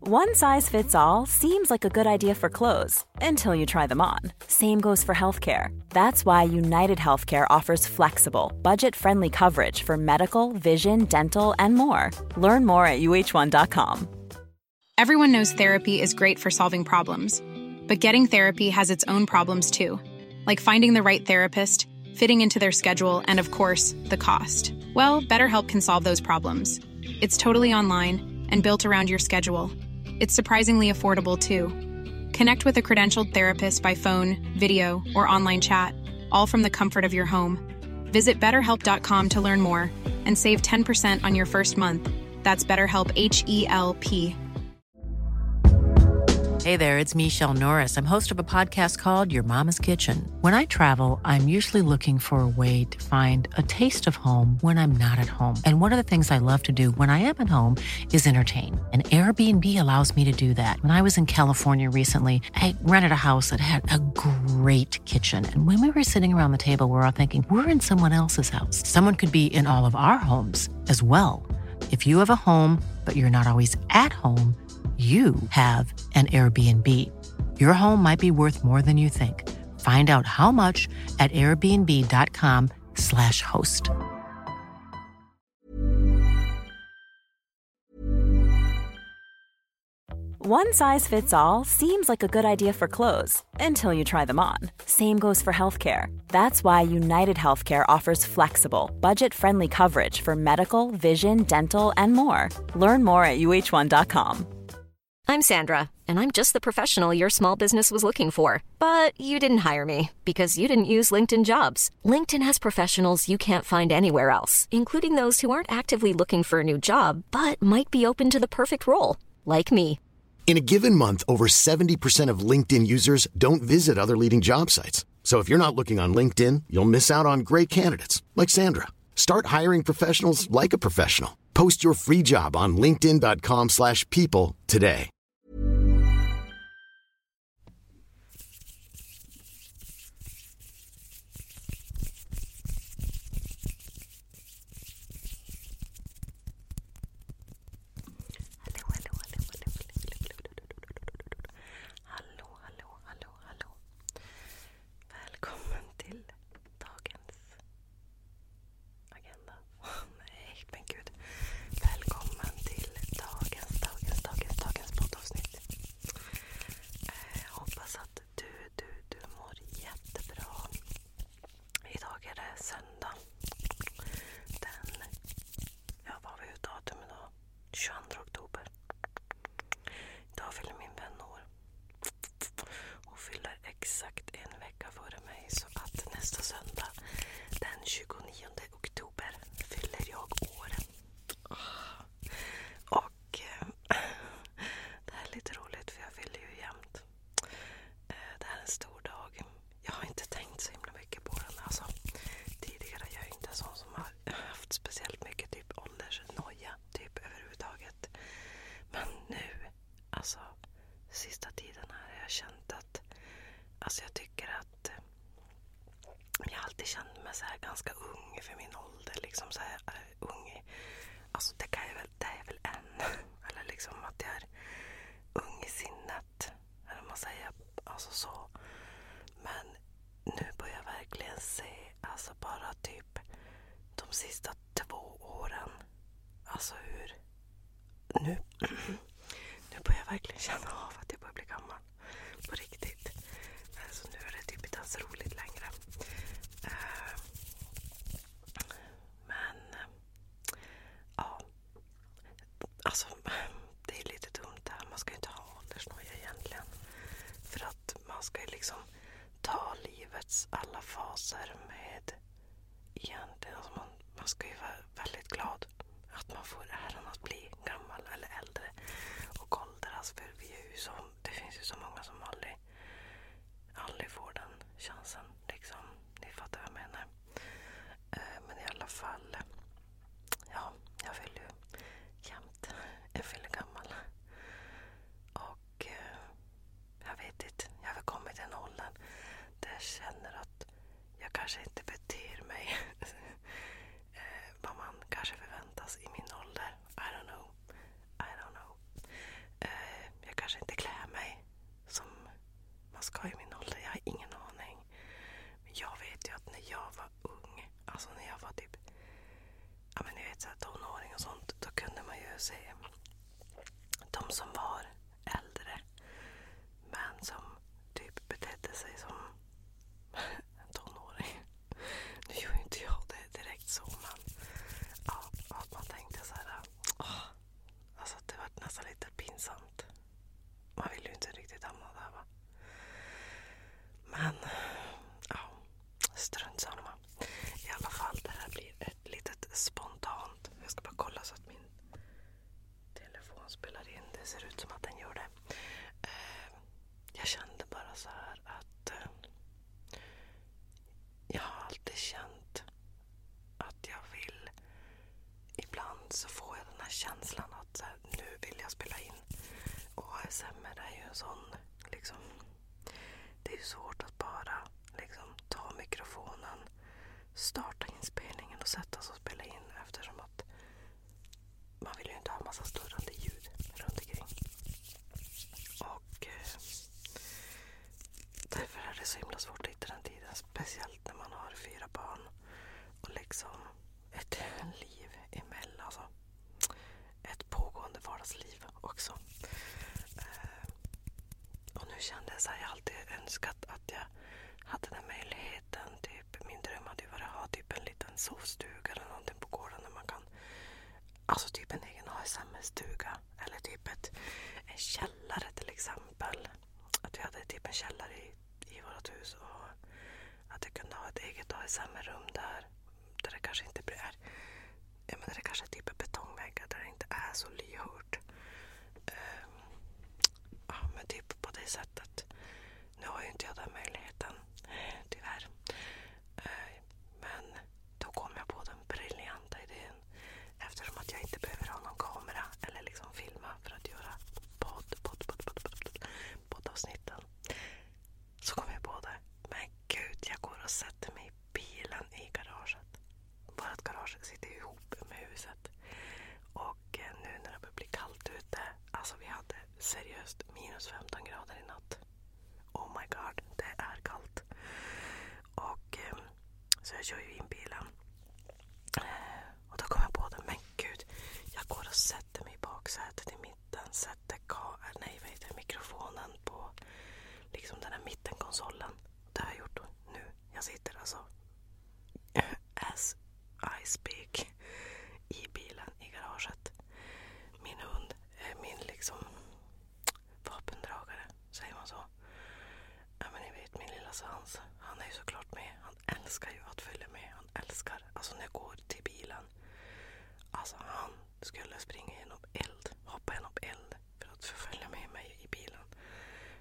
One size fits all seems like a good idea for clothes until you try them on. Same goes for healthcare. That's why United Healthcare offers flexible, budget friendly coverage for medical, vision, dental, and more. Learn more at uh1.com. Everyone knows therapy is great for solving problems, but getting therapy has its own problems too, like finding the right therapist, fitting into their schedule, and of course, the cost. Well, BetterHelp can solve those problems. It's totally online and built around your schedule. It's surprisingly affordable, too. Connect with a credentialed therapist by phone, video, or online chat, all from the comfort of your home. Visit betterhelp.com to learn more and save 10% on your first month. That's BetterHelp H E L P. Hey there, it's Michelle Norris. I'm host of a podcast called Your Mama's Kitchen. When I travel, I'm usually looking for a way to find a taste of home when I'm not at home. And one of the things I love to do when I am at home is entertain. And Airbnb allows me to do that. When I was in California recently, I rented a house that had a great kitchen. And when we were sitting around the table, we were all thinking, we're in someone else's house. Someone could be in all of our homes as well. If you have a home, but you're not always at home, you have an Airbnb. Your home might be worth more than you think. Find out how much at airbnb.com/slash host. One size fits all seems like a good idea for clothes until you try them on. Same goes for healthcare. That's why United Healthcare offers flexible, budget-friendly coverage for medical, vision, dental, and more. Learn more at uh1.com. I'm Sandra, and I'm just the professional your small business was looking for. But you didn't hire me because you didn't use LinkedIn jobs. LinkedIn has professionals you can't find anywhere else, including those who aren't actively looking for a new job but might be open to the perfect role, like me. In a given month, over 70% of LinkedIn users don't visit other leading job sites. So if you're not looking on LinkedIn, you'll miss out on great candidates like Sandra. Start hiring professionals like a professional. Post your free job on linkedin.com slash people today. Hello, hello, hello, hello, hello, hello, hello, hello, hello, hello, hello, hello. Välkommen till dagens agenda. nej, men gud. Välkommen till dagens, dagens, dagens, dagens poddavsnitt. Eh, hoppas att du, du, du mår jättebra. Idag är det söndag. Den... Ja, vad har vi för datum idag? 22 oktober. Idag fyller min vän år. Hon fyller exakt en vecka före mig så att nästa söndag den 29 oktober fyller jag år. Och eh, det här är lite roligt för jag fyller ju jämt. Eh, det här är en stor dag. Jag har inte tänkt så himla mycket på den alltså. Tidigare jag är jag inte en sån som har haft speciellt mycket typ åldersnoja typ överhuvudtaget. Men nu, alltså sista tiden här har jag känt att, alltså jag tycker att eh, jag har alltid känt mig så här ganska ung för min ålder. Liksom så här, eh, ung. Alltså det, kan jag väl, det är väl än. Eller liksom att jag är ung i sinnet. Eller vad man säger. Alltså så. Men nu börjar jag verkligen se, alltså bara typ de sista två åren. Alltså hur... Nu, nu börjar jag verkligen känna av att jag börjar bli gammal. På riktigt. Alltså nu är det typ inte ens roligt längre. Eh, men... Eh, ja. Alltså, det är lite dumt det här. Man ska ju inte ha åldersnoja egentligen. För att man ska ju liksom ta livets alla faser med egentligen, alltså man, man ska ju vara väldigt glad att man får äran att bli gammal eller äldre och åldras. För vi är ju så, det finns ju så många som aldrig, aldrig får den chansen. Liksom. Ni fattar vad jag menar. Eh, men i alla fall, ja, jag vill ju jämt att jag fyller gammal. Och eh, jag vet inte, jag har kommit till den åldern där jag känner att jag kanske inte beter mig eh, vad man kanske förväntas i min ålder. I don't know. I don't know. Eh, jag kanske inte klär mig som man ska i min ålder. Jag har ingen aning. Men jag vet ju att när jag var ung, alltså när jag var typ ja men ni vet så här, tonåring och sånt, då kunde man ju se de som var äldre men som typ betedde sig som tonåring. Nu gör ju inte jag det direkt så men ja, att man tänkte så här, åh, alltså det var nästan lite pinsamt. Man vill ju inte riktigt hamna där va. Men ja, strunt samma. I alla fall, det här blir ett litet spontant. Jag ska bara kolla så att min telefon spelar in. Det ser ut som att den gör det. Eh, jag kände bara så här att eh, jag har alltid känt att jag vill... Ibland så får jag den här känslan att nu vill jag spela in och ASMR är ju en sån... Liksom, det är ju svårt att bara liksom, ta mikrofonen, starta inspelningen och sätta sig och spela in eftersom att man vill ju inte ha massa störande ljud runt omkring. Och eh, därför är det så himla svårt att hitta den tiden. Speciellt när man har fyra barn och liksom ett liv emellan. Alltså. Ett pågående vardagsliv också. Eh, och nu kände jag så här, jag har alltid önskat att jag hade den möjligheten. Typ, min dröm hade ju varit att ha typ en liten sovstuga eller någonting på gården där man kan Alltså typ en egen ASMR-stuga eller typ ett, en källare till exempel. Att vi hade typ en källare i, i vårt hus och att jag kunde ha ett eget ASMR-rum där där det kanske inte är, jag menar det kanske är typ betongväggar där det inte är så lyhört. Ehm, ja, men typ på det sättet. Nu har ju inte jag den möjligheten, tyvärr. Ehm, men då kom jag på den briljanta idén eftersom att jag inte behöver ha någon kamera eller liksom filma för att göra podd, podd, podd, podd, podd, podd båda avsnitten. Så kom jag på det. Men gud, jag går och sätter mig i bilen i garaget. Vårt garage sitter ihop med huset. Och eh, nu när det börjar bli kallt ute. Alltså vi hade seriöst minus 15 grader i natt. Oh my god, det är kallt. Och eh, Så jag kör ju in bilen. Eh, och då kom jag på det. Men gud, jag går och sätter mig i baksätet i min den sätter ka nej, vad heter mikrofonen på liksom den här mittenkonsolen. Det har jag gjort nu. Jag sitter alltså as I speak i bilen i garaget. Min hund, eh, min liksom vapendragare, säger man så? Ja men ni vet min lilla svans. Han är ju såklart med. Han älskar ju att följa med han älskar. Alltså när jag går till bilen. Alltså han skulle springa genom eld, hoppa genom eld för att förfölja med mig i bilen.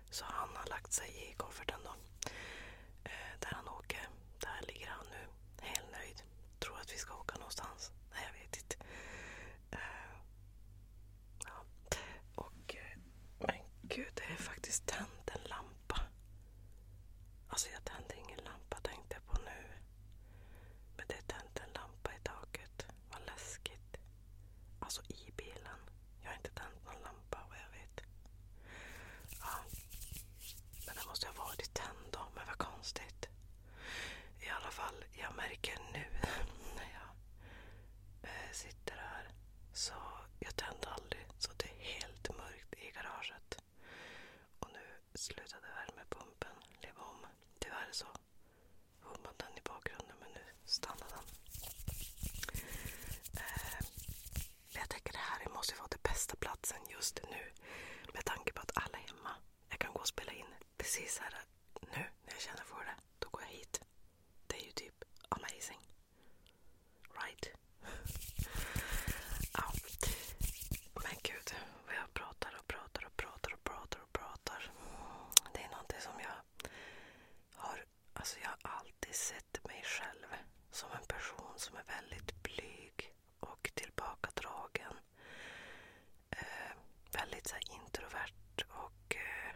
Så han har lagt sig i kofferten då. Eh, där han åker. Där ligger han nu, helt nöjd. Tror att vi ska åka någonstans. Nej, jag vet inte. Eh, ja. Och, eh, men gud, det är faktiskt tänt en lampa Alltså jag tände ingen lampa tänkte jag på nu. Men det är tänt en lampa i taket. Vad läskigt. Alltså i bilen. Jag har inte tänt någon lampa vad jag vet. Ja. Men den måste ha varit tänd då. Men vad konstigt. I alla fall, jag märker nu när jag äh, sitter här. Så jag tänder aldrig. Så det är helt mörkt i garaget. Och nu slutade värmepumpen leva om. Tyvärr så hummade den i bakgrunden men nu stannade den. Eh, jag tänker det här måste ju vara den bästa platsen just nu med tanke på att alla är hemma. Jag kan gå och spela in precis här nu när jag känner för det. Då går jag hit. Det är ju typ amazing. Right? ja. Men gud, vad jag pratar och pratar och pratar och pratar och pratar. Det är någonting som jag har... Alltså jag har alltid sett mig själv som en person som är väldigt blyg och tillbakadragen. Eh, väldigt så introvert och eh,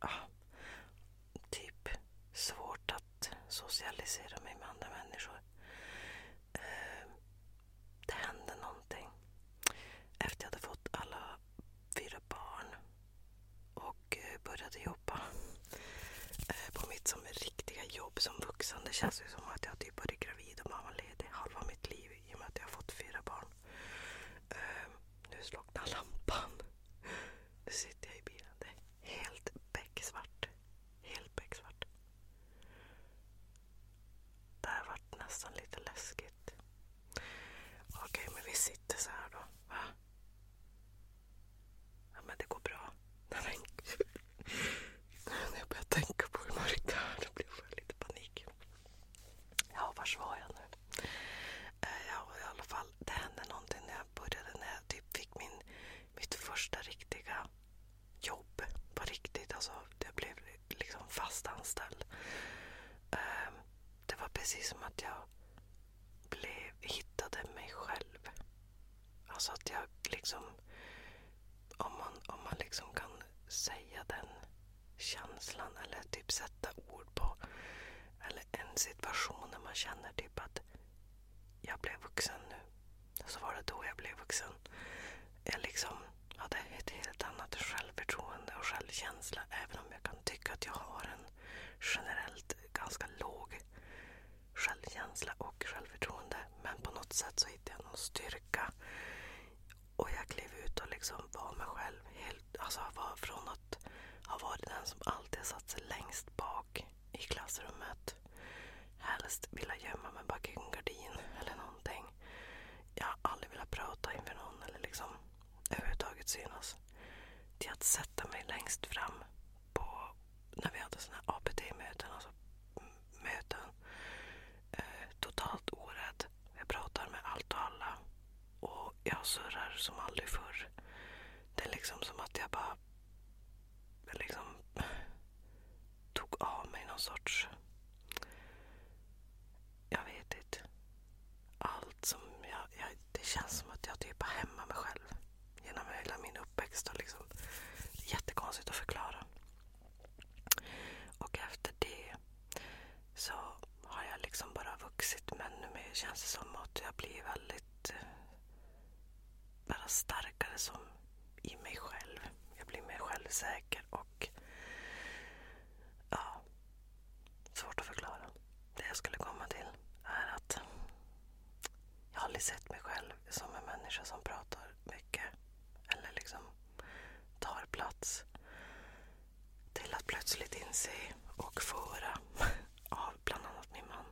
ah, typ svårt att att socialisera mig med andra människor. Ehm, det hände någonting. Efter jag hade fått alla fyra barn och eh, började jobba eh, på mitt som riktiga jobb som vuxen. Det känns ju som att jag typ varit gravid och mammaledig halva mitt liv i och med att jag har fått fyra barn. Ehm, nu slocknar lampan. Nu sitter jag i bilen. Helt becksvart. Helt becksvart. Det här vart nästan lite läskigt. Okej, men vi sitter så här då. Va? Ja, men det går bra. Nej, men När jag börjar tänka på hur mörkt det är, då blir jag lite panik. Ja, var var jag nu? Eh, ja, i alla fall, det hände någonting när jag började, när jag typ fick min, mitt första riktiga jobb på riktigt. Alltså, jag blev liksom fast anställd. Ehm, det var precis som att jag blev, hittade mig själv. Alltså att jag liksom... Om man, om man liksom kan säga den känslan eller typ sätta ord på eller en situation när man känner typ att jag blev vuxen nu. Så var det då jag blev vuxen. Jag liksom hade ett helt annat självförtroende och självkänsla. Även om jag kan tycka att jag har en generellt ganska låg självkänsla och självförtroende. Men på något sätt så hittade jag någon styrka. Och jag klev ut och liksom var mig själv. Helt, alltså var från att ha varit den som alltid satt sig längst bak i klassrummet. Helst vilja gömma mig bakom en gardin eller någonting. Jag har aldrig velat prata inför någon eller liksom överhuvudtaget synas. Till att sätta mig längst fram på när vi hade såna här APT-möten, alltså möten. Eh, totalt orädd. Jag pratar med allt och alla. Och jag surrar som aldrig förr. Det är liksom som att jag bara liksom tog av mig någon sorts... Jag vet inte. Allt som jag, Det känns som att jag typ är hemma mig själv genom hela min uppväxt. Och liksom, det är jättekonstigt att förklara. Och efter det så har jag liksom bara vuxit. Men nu känns det som att jag blir väldigt bara starkare som i mig själv. Jag blir mer självsäker och ja, svårt att förklara. Det jag skulle komma till är att jag har aldrig sett mig själv som en människa som pratar mycket eller liksom tar plats. Till att plötsligt inse och få höra av bland annat min man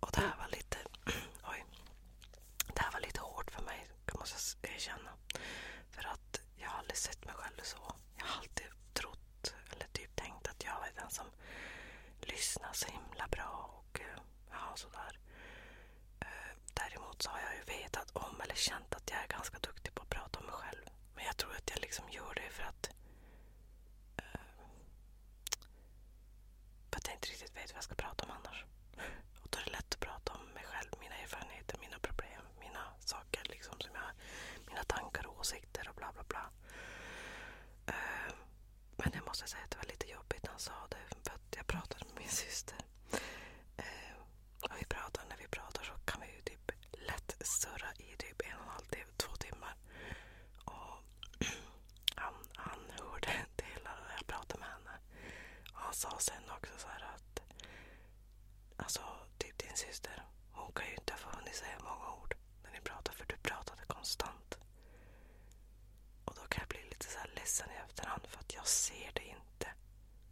Och det här var lite... Oj. Det här var lite hårt för mig, måste jag erkänna. För att jag har aldrig sett mig själv så. Jag har alltid trott, eller typ tänkt att jag är den som lyssnar så himla bra och eh, ja, sådär. Eh, däremot så har jag ju vetat om eller känt att jag är ganska duktig på att prata om mig själv. Men jag tror att jag liksom gör det för att eh, för att jag inte riktigt vet vad jag ska prata om annars. Och då är det lätt att prata om mig själv, mina erfarenheter, mina problem, mina saker liksom som jag, mina tankar och åsikter och bla bla bla. Eh, men jag måste säga att det var lite jobbigt när han sa det för att jag pratade med min syster. Eh, och vi pratar, när vi pratar så kan vi ju typ lätt surra i typ en och en halv, två timmar han, hörde inte hela när jag pratade med henne. han sa sen också så här att Alltså, typ din syster. Hon kan ju inte ha hunnit säga många ord när ni pratade för du pratade konstant. Och då kan jag bli lite så här ledsen i efterhand för att jag ser det inte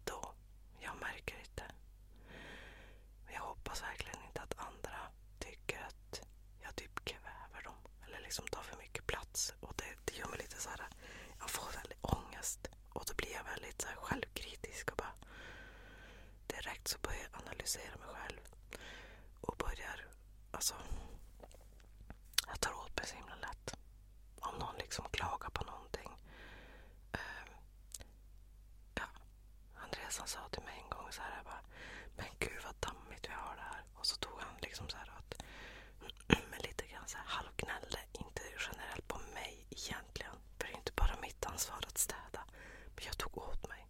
då. Jag märker inte. Men jag hoppas verkligen inte att andra tycker att jag typ kväver dem. Eller liksom tar för mycket plats. Och det, det gör mig lite så här, Jag får väldigt ångest. Och då blir jag väldigt så självkritisk och bara direkt så börjar jag analysera mig själv. Och börjar, alltså. Jag tar åt mig så himla lätt. Om någon liksom klagar på någonting. Uh, ja, Andreas han sa till mig en gång så här. Bara, Men gud vad dammigt vi har det här här. Och så tog han liksom så här att, men lite grann så här halvgnällde, inte generellt på mig egentligen. För det är inte bara mitt ansvar att städa. Men jag tog åt mig.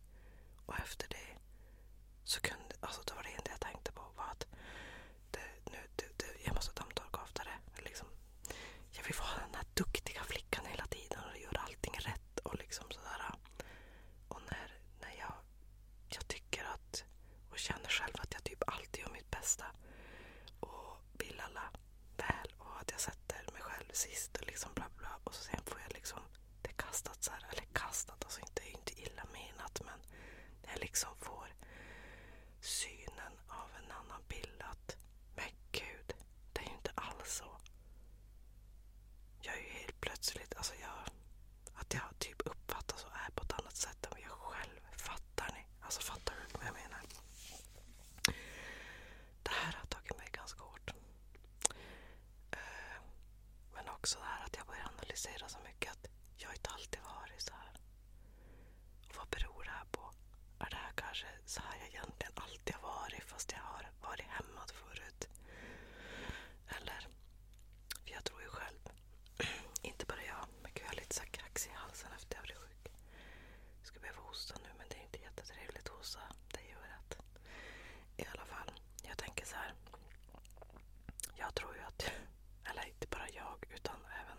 Och efter det så kunde, alltså det var det enda jag tänkte på var att det, nu, det, det, jag måste dammtorka oftare. Liksom, jag vill vara den här duktiga flickan hela tiden och göra allting rätt. Och liksom sådär. Och när, när jag jag tycker att och känner själv att jag typ alltid gör mitt bästa och vill alla väl och att jag sätter mig själv sist och liksom bla bla. Och så sen får jag liksom det kastat så här, eller kastat, alltså inte, inte illa menat men jag liksom får synen av en annan bild att men gud, det är ju inte alls så. Jag är ju helt plötsligt, alltså jag, att jag typ uppfattas och är på ett annat sätt än jag själv fattar. Ni? Alltså fattar du vad jag menar? Det här har tagit mig ganska hårt. Eh, men också det här att jag börjar analysera så mycket att jag inte alltid varit så här. Och vad beror det här på? Är det här kanske så här jag egentligen alltid har varit fast jag har varit hämmad förut? Eller? För jag tror ju själv, inte bara jag, men gud jag har lite så krax i halsen efter att jag blev sjuk. Jag skulle behöva hosta nu men det är inte jättetrevligt att hosta. Det gör att. I alla fall, jag tänker så här. Jag tror ju att, eller inte bara jag utan även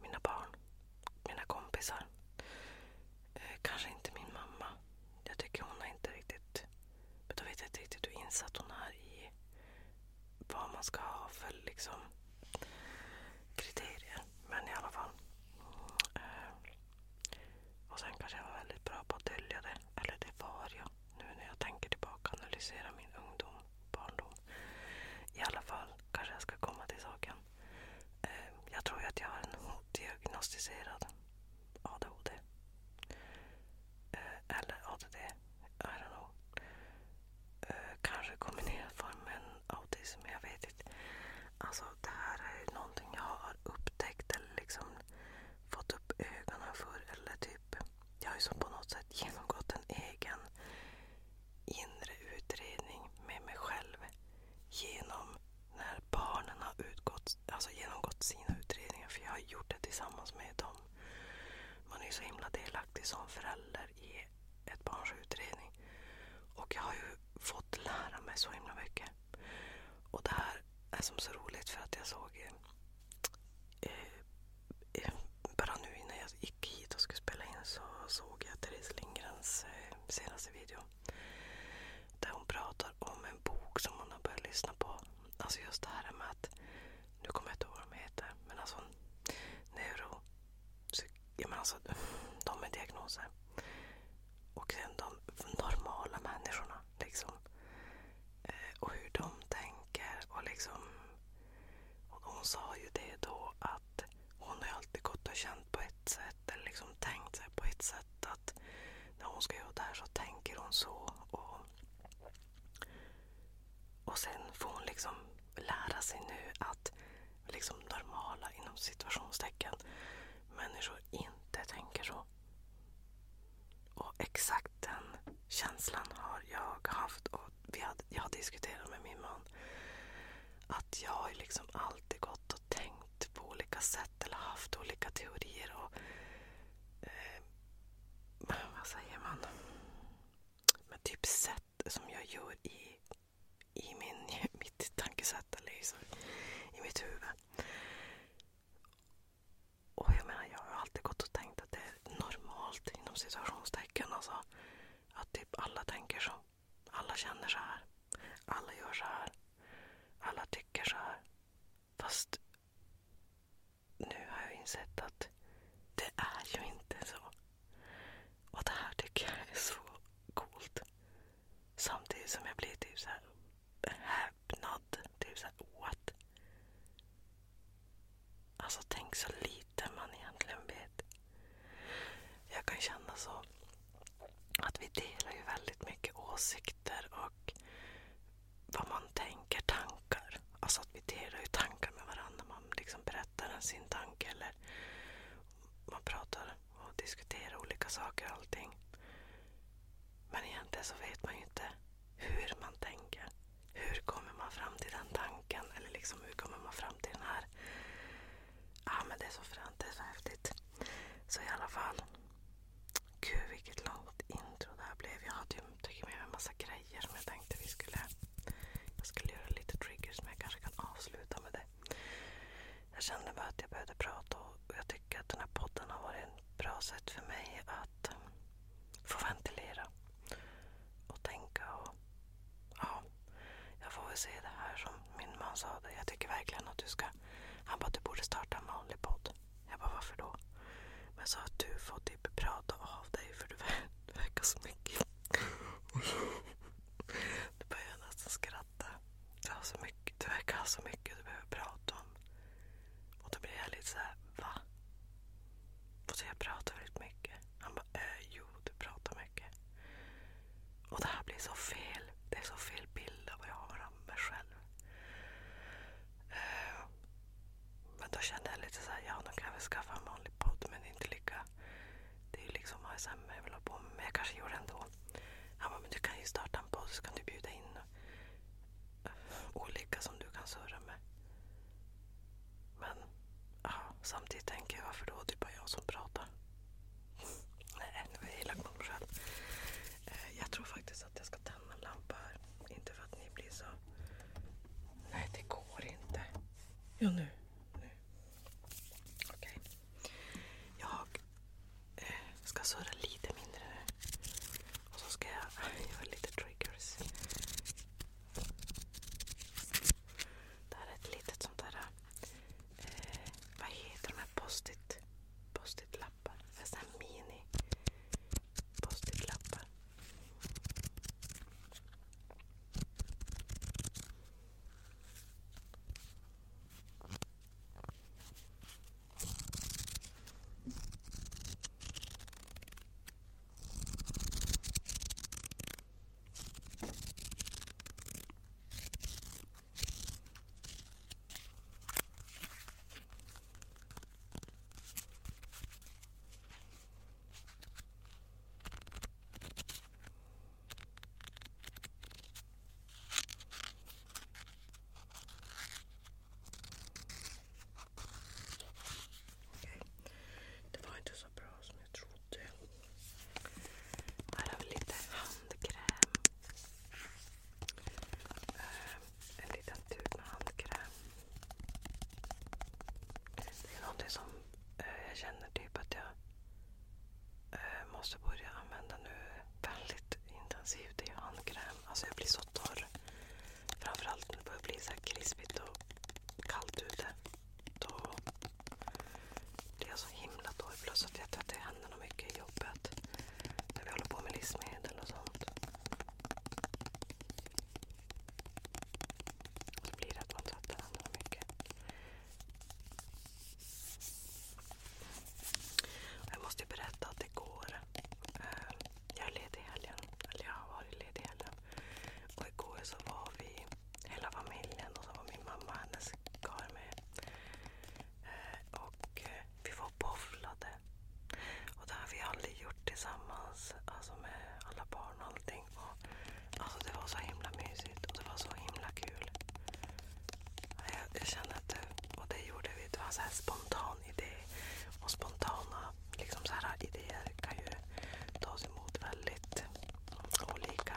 mina barn, mina kompisar. Eh, kanske inte min mamma. Jag tycker hon har inte riktigt men då vet jag inte riktigt hur insatt hon är i vad man ska ha för liksom, kriterier. Men i alla fall. Eh, och sen kanske jag var väldigt bra på att dölja det. Eller det var jag. Nu när jag tänker tillbaka och analyserar min ungdom, barndom. I alla fall kanske jag ska komma till saken. Eh, jag tror att jag har en diagnostiserad ADHD. Eh, eller ADD. I don't know. Eh, kanske kombinerad form med en autism. Jag vet inte. Alltså det här är någonting jag har upptäckt eller liksom fått upp ögonen för. Eller typ, jag har ju som på något sätt genomgått en egen inre utredning med mig själv genom när barnen har utgått, alltså genomgått sina utredningar. För jag har gjort det tillsammans med dem. Man är ju så himla delaktig som förälder i ett barns utredning. Och jag har ju fått lära mig så himla mycket. Och det här är som så roligt för att jag såg eh, eh bara nu innan jag gick hit och skulle spela in så såg jag Therese Lindgrens eh, senaste video. Där hon pratar om en bok som hon har börjat lyssna på. Alltså just det här med att, nu kommer jag inte ihåg vad de heter, men alltså neuro... Ja, men alltså, de med diagnoser. Och sen de normala människorna. liksom. Eh, och hur de tänker. och liksom... Och hon sa ju det då att hon har alltid gått och känt på ett sätt eller liksom tänkt sig på ett sätt sätt att när hon ska göra det här så tänker hon så. Och, och sen får hon liksom lära sig nu att liksom normala inom situationstecken människor inte tänker så. Och exakt den känslan har jag haft och vi hade, jag har diskuterat med min man. Att jag har liksom alltid gått och tänkt tänkt på olika sätt eller haft olika teorier. Och, eh, vad säger man? Men typ sätt som jag gör i, i min, mitt tankesätt eller liksom, i mitt huvud. Och jag menar, jag har alltid gått och tänkt att det är normalt inom situationstecken. Alltså, att typ alla tänker så. Alla känner så här. Alla gör så här. Alla tycker så här. Fast nu har jag insett att det är ju inte så. Och det här tycker jag är så coolt. Samtidigt som jag blir typ så häpnad. Typ så what? Alltså tänk så lite man egentligen vet. Jag kan känna så att vi delar ju väldigt mycket åsikter och vad man tänker, tankar. Alltså att vi delar ju tankar med varandra. Man liksom berättar sin tanke eller man pratar och diskuterar olika saker och allting. Men egentligen så vet man ju inte hur man tänker. Hur kommer man fram till den tanken? Eller liksom hur kommer man fram till den här? Ja, men det är så fränt, det är så häftigt. Så i alla fall. Gud vilket långt intro det här blev. Jag hade ju tagit med mig en massa grejer som jag tänkte vi skulle... Jag skulle göra lite triggers men jag kanske kan avsluta med det. Jag kände bara att jag behövde prata och jag tycker att den här podden har varit ett bra sätt för mig att eh, få ventilera och tänka och... Ja, jag får väl se det här som min man sa. Jag tycker verkligen att du ska han bara, du borde starta en vanlig podd. Jag bara, varför då? Men så att du får typ prata av dig för du, verkar så mycket. Du börjar nästan skratta. Du, har så mycket, du verkar ha så mycket du behöver prata om. Och då blir jag lite såhär, va? Och så jag pratar väldigt mycket. Han bara, äh, jo du pratar mycket. Och det här blir så fel. Det är så fel bild av vad jag har av mig själv. Uh, men då kände jag lite såhär, ja nu kan jag väl skaffa en vanlig podd men inte lika... Det är ju liksom ASMR jag vill ha på mig. Men jag kanske gjorde det ändå. Han bara, men du kan ju starta en podd så kan du bjuda in eh, olika som du kan surra med. Men ja, samtidigt tänker jag, varför då? Det är bara jag som pratar. Nej, det var elak mot själv. Jag tror faktiskt att jag ska tända en lampa här. Inte för att ni blir så... Nej, det går inte. Jo, nu. nu. Okej. Okay. Jag eh, ska surra lite mindre nu. Och så ska jag göra lite triggers. Det här är ett litet sånt där Eh, vad heter de här post-it post lappar? Såna här mini post-it lappar. Okej, det var inte så bra som jag trodde. Här har vi lite handkräm. Eh, en liten tub med handkräm. Det är någonting som eh, jag känner typ att jag eh, måste börja använda nu väldigt intensivt. Det är handkräm. Alltså jag blir så torr. Framförallt när det börjar bli så krispigt och kallt ute. Då det är så himla dåligt. Plus att jag tvättar händerna mycket i jobbet. När vi håller på med livsmedel och sånt. Och det blir att man tvättar händerna mycket. Jag måste ju berätta att igår, eh, jag är ledig i helgen, eller jag har varit ledig i helgen. Och igår så var vi, hela familjen, och så var min mamma och hennes kar med. Eh, och eh, vi var bowlade. Och det har vi aldrig gjort tillsammans. Alltså med alla barn och allting. Och, alltså det var så himla mysigt och det var så himla kul. Jag, jag kände att det, och det gjorde vi. Det var så här spontan idé. Och spontana liksom så här idéer kan ju tas emot väldigt olika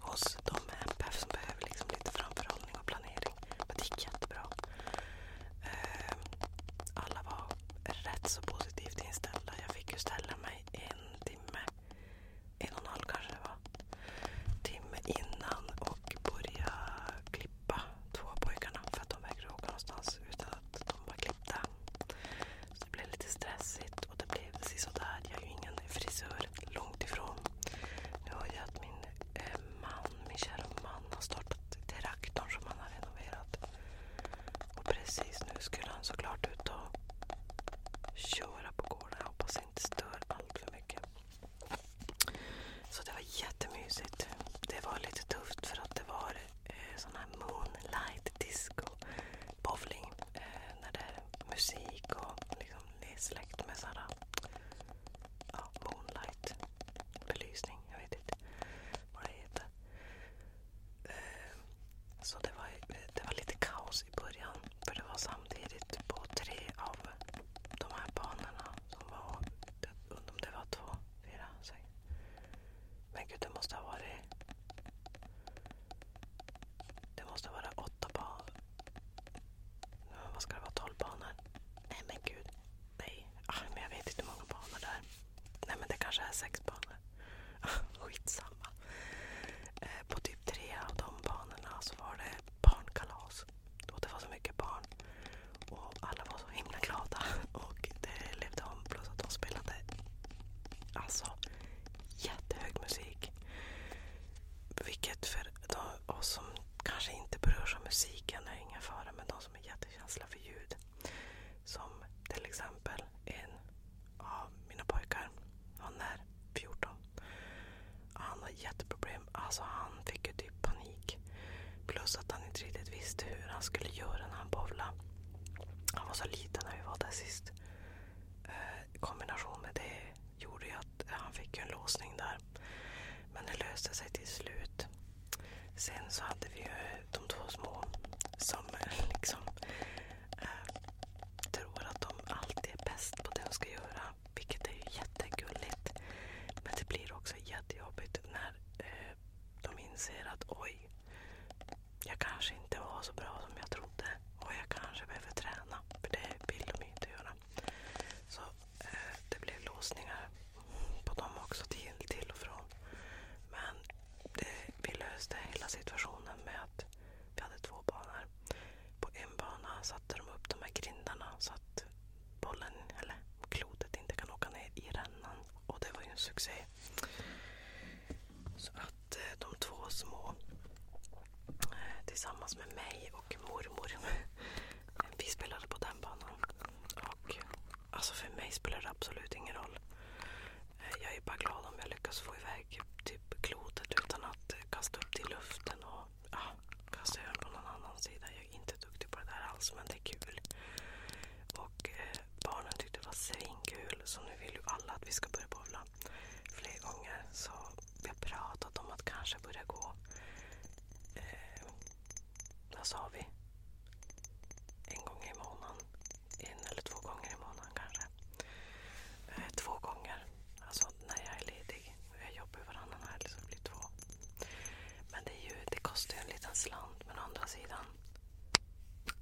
hos de med MPF som behöver liksom lite framförhållning och planering. Men det gick jättebra. Ehm, alla var rätt så positivt inställda. Jag fick ju ställa mig en timme, en och en halv kanske det var, timme innan och börja klippa två av pojkarna för att de vägrade åka någonstans utan att de var klippta. Så det blev lite stressigt och det blev precis sådär. Jag är ju ingen frisör väldigt långt ifrån. Nu har jag att min eh, man, min kära man har startat traktorn som han har renoverat. Och precis nu skulle han såklart ut och köra på gården. Jag hoppas jag inte stör allt för mycket. Så det var jättemysigt. Det var lite tufft för att det var eh, sån här moonlight disco bowling. Eh, när det är musik och liksom det är släkt med sådana, ja, moonlight Jag vet inte vad det heter. Eh, så det var, lite kaos i början. För det var samtidigt på tre av de här banorna som om det var två, fyra, sex. Men gud, det måste ha varit det måste vara åtta, ba vad ska det vara? 12 banor? Nej men gud. Nej. Ah, men jag vet inte hur många banor det är. Nej men det kanske är sex banor. Skitsamma. Eh, på typ tre av de banorna så var det barnkalas. Och det var så mycket barn. Och alla var så himla glada. Och det levde om. Plus att de spelade alltså jättehög musik. Vilket för de, oss som kanske inte berörs av musiken är ingen fara, men de som är jättekänsliga för ljud. Som till exempel en av mina pojkar. Han är 14. Han har jätteproblem. Alltså han fick ju typ panik. Plus att han inte riktigt visste hur han skulle göra när han bowlade. Han var så liten när vi var där sist. Eh, kombination med det gjorde ju att eh, han fick en låsning där. Men det löste sig till slut. Sen så hade vi ju de två små som eh, liksom eh, tror att de alltid är bäst på det de ska göra. Vilket är ju jättegulligt. Men det blir också jättejobbigt när de inser att oj, jag kanske inte var så bra som jag trodde. Och jag kanske behöver träna öppna. För det vill de inte göra. Så eh, det blev låsningar på dem också till, till och från. Men det, vi löste hela situationen med att vi hade två banor. På en bana satte de upp de här grindarna så att bollen, eller klotet, inte kan åka ner i rännan. Och det var ju en succé. Så att eh, de två små tillsammans med mig och mormor. Vi spelade på den banan. Och alltså för mig spelar det absolut ingen roll. Eh, jag är bara glad om jag lyckas få iväg typ klotet utan att kasta upp det i luften och ja, kasta över på någon annan sida. Jag är inte duktig på det där alls men det är kul. Och eh, barnen tyckte det var svinkul så nu vill ju alla att vi ska börja bowla fler gånger. Så vi har pratat om att kanske börja gå... Eh, vad sa vi? En gång i månaden. En eller två gånger i månaden kanske. Eh, två gånger. Alltså när jag är ledig. Jag jobbar varannan helg så det blir två. Men det, är ju, det kostar ju en liten slant. Men å andra sidan.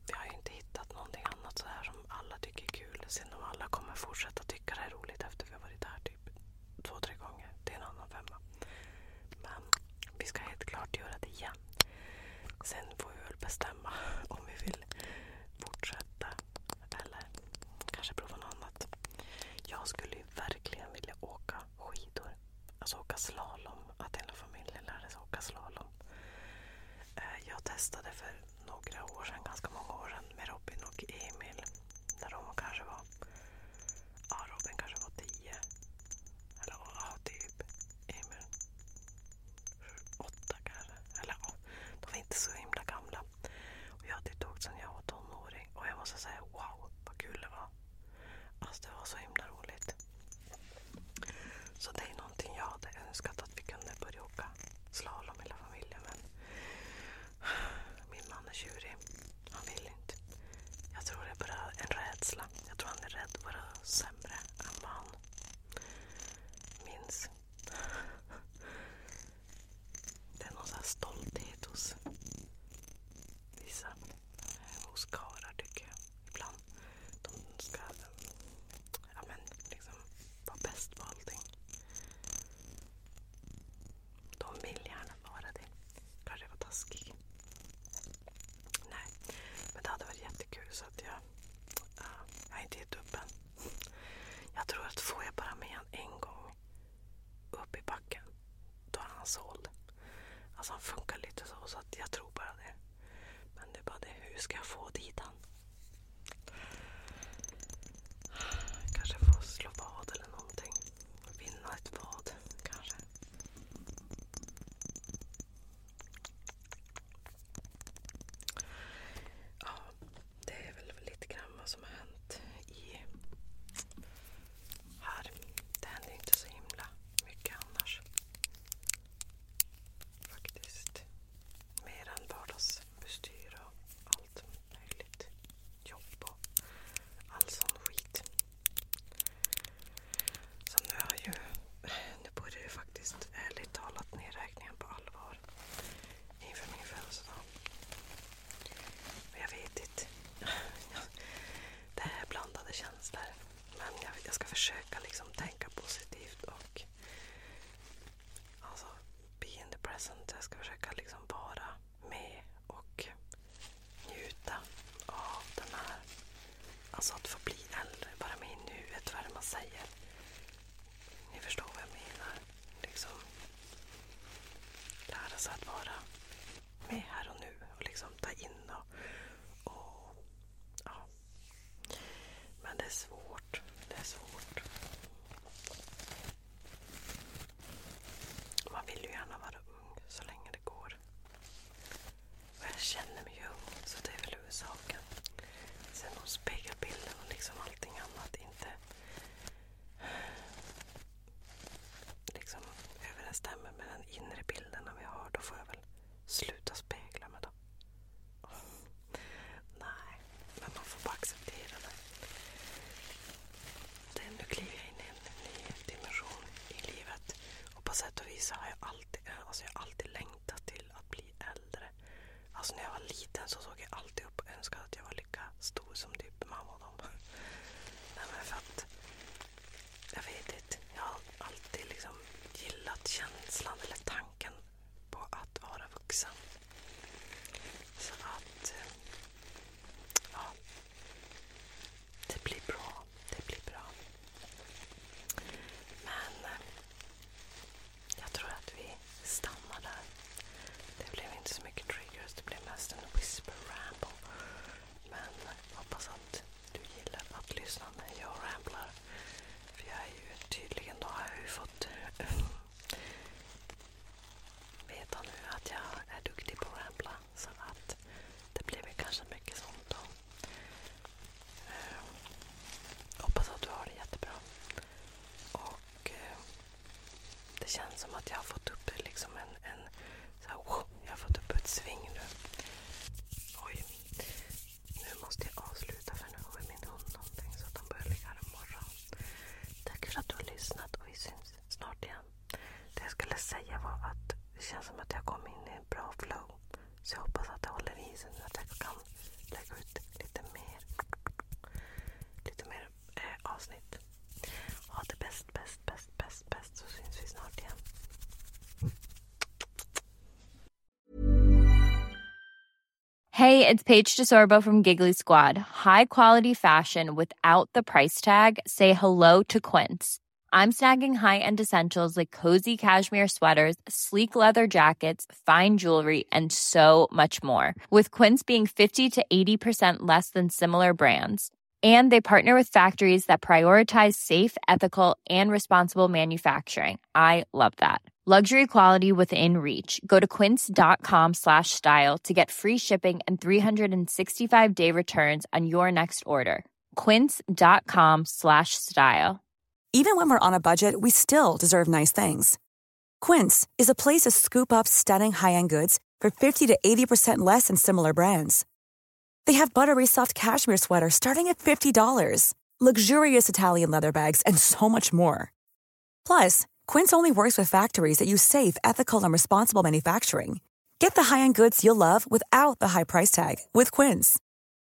Vi har ju inte hittat någonting annat så här som alla tycker är kul kul. Sen om alla kommer fortsätta tycka det är roligt efter vi har varit där typ två, tre gånger. Det är en annan femma. Men vi ska helt klart göra det igen. Sen får vi väl bestämma om vi vill fortsätta eller kanske prova något annat. Jag skulle ju verkligen vilja åka skidor. Alltså åka slalom. Att hela familjen lärde sig åka slalom. Eh, jag testade för några år sedan, ganska många år sedan, med Robin och Emil. När de kanske var... Ja, Robin kanske var tio. Eller ja, typ. Emil åtta kanske. Eller ja, de var inte så himla gamla. Och jag hade åkt sedan jag var tonåring. Och jag måste säga, wow vad kul det var. Alltså det var så himla roligt. Så det är någonting jag hade önskat att vi kunde börja åka slalom hela familjen. Men min man är tjurig. Han vill inte. Jag tror det är bara en rädsla. Jag tror han är rädd att vara sämre än vad han minns. Det är någon sån stolthet hos vissa. Eh, hos karlar tycker jag. Ibland. De ska ja, men, liksom, vara bäst på allting. De vill gärna vara det. Kanske jag var taskig. Nej, men det hade varit jättekul så att jag, uh, jag har inte gett upp än. Jag tror att får jag bara med han en gång upp i backen, då är han såld. Alltså han funkar lite så, så att jag tror bara det. Men det är bara det, hur ska jag få dit honom? Kanske få slå vad eller någonting. Vinna ett vad kanske. Ja, det är väl lite grann vad som har hänt här. Det händer inte så himla mycket annars. Faktiskt. Mer än vardags bestyra och allt möjligt. Jobb och all sån skit. Så nu har ju... faktiskt ärligt talat ner på allvar inför min födelsedag. jag vet inte. Det är blandade känslor. Men jag, ska försöka liksom tänka positivt och... Alltså, be in the present. Jag ska försöka liksom vara med och njuta av den här... Alltså att få bli äldre, vara med i nuet, vad är det man säger? Ni förstår vad jag menar. Liksom lära sig att vara med här och nu och liksom ta in och, och ja, men det är svårt. Det är svårt. Man vill ju gärna vara ung så länge det går. Och jag känner mig ung, så det är väl huvudsaken. Sen om spegelbilden och liksom allting annat inte liksom överensstämmer med den inre bilden vi har, då får jag väl sluta spegla med dem. Nej, men man får bara acceptera det. nu kliver jag in i en ny dimension i livet. Och på sätt och vis har jag eh, alltså alltid, längtat till att bli äldre. Alltså när jag var liten så såg jag alltid upp och önskade att jag var lika stor som typ mamma och dem. Nej, men för att, jag vet inte. Jag har alltid liksom gillat känslan eller tanken på att vara vuxen. Så att... Ja. Det blir bra. Det blir bra. Men jag tror att vi stannar där. Det blev inte så mycket triggers. Det blev mest en whisper ramble. Men hoppas att du gillar att lyssna när jag ramblar. För jag är ju tydligen, då har jag ju fått eh, veta nu att jag är duktig på att rabbla. Så att det blir väl kanske mycket sånt då. Eh, hoppas att du har det jättebra. Och eh, det känns som att jag har fått upp liksom en, en så här, oh, jag har fått upp ett sving nu. Oj. Nu måste jag avsluta för nu har min hund någonting så att han börjar ligga här imorgon. Tack för att du har lyssnat och vi syns snart igen. Det jag skulle säga var att det känns som att jag kom in i en bra flow. Så jag hoppas att det håller i sig nu att jag kan lägga ut lite mer, lite mer eh, avsnitt. Ha det bäst, bäst, bäst, bäst, bäst så syns vi snart igen. Hey, it's Paige DeSorbo from Giggly Squad. High quality fashion without the price tag. Say hello to Quince. I'm snagging high-end essentials like cozy cashmere sweaters, sleek leather jackets, fine jewelry, and so much more. With Quince being 50 to 80% less than similar brands. And they partner with factories that prioritize safe, ethical, and responsible manufacturing. I love that. Luxury quality within reach. Go to quince.com slash style to get free shipping and 365 day returns on your next order. Quince.com slash style. Even when we're on a budget, we still deserve nice things. Quince is a place to scoop up stunning high end goods for 50 to 80% less than similar brands. They have buttery soft cashmere sweaters starting at $50 luxurious Italian leather bags, and so much more. Plus, Quince only works with factories that use safe, ethical, and responsible manufacturing. Get the high-end goods you'll love without the high price tag with Quince.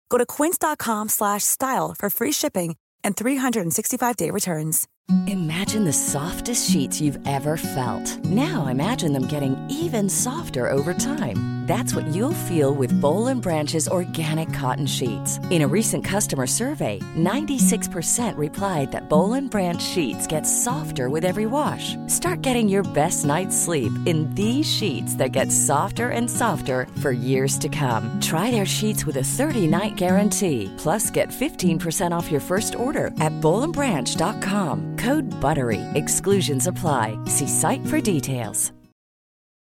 Go to quince.com/style for free shipping and 365-day returns. Imagine the softest sheets you've ever felt. Now imagine them getting even softer over time. That's what you'll feel with Bowl and Branch's organic cotton sheets. In a recent customer survey, 96% replied that Bolin Branch sheets get softer with every wash. Start getting your best night's sleep in these sheets that get softer and softer for years to come. Try their sheets with a 30-night guarantee. Plus, get 15% off your first order at BolinBranch.com. Code BUTTERY. Exclusions apply. See site for details.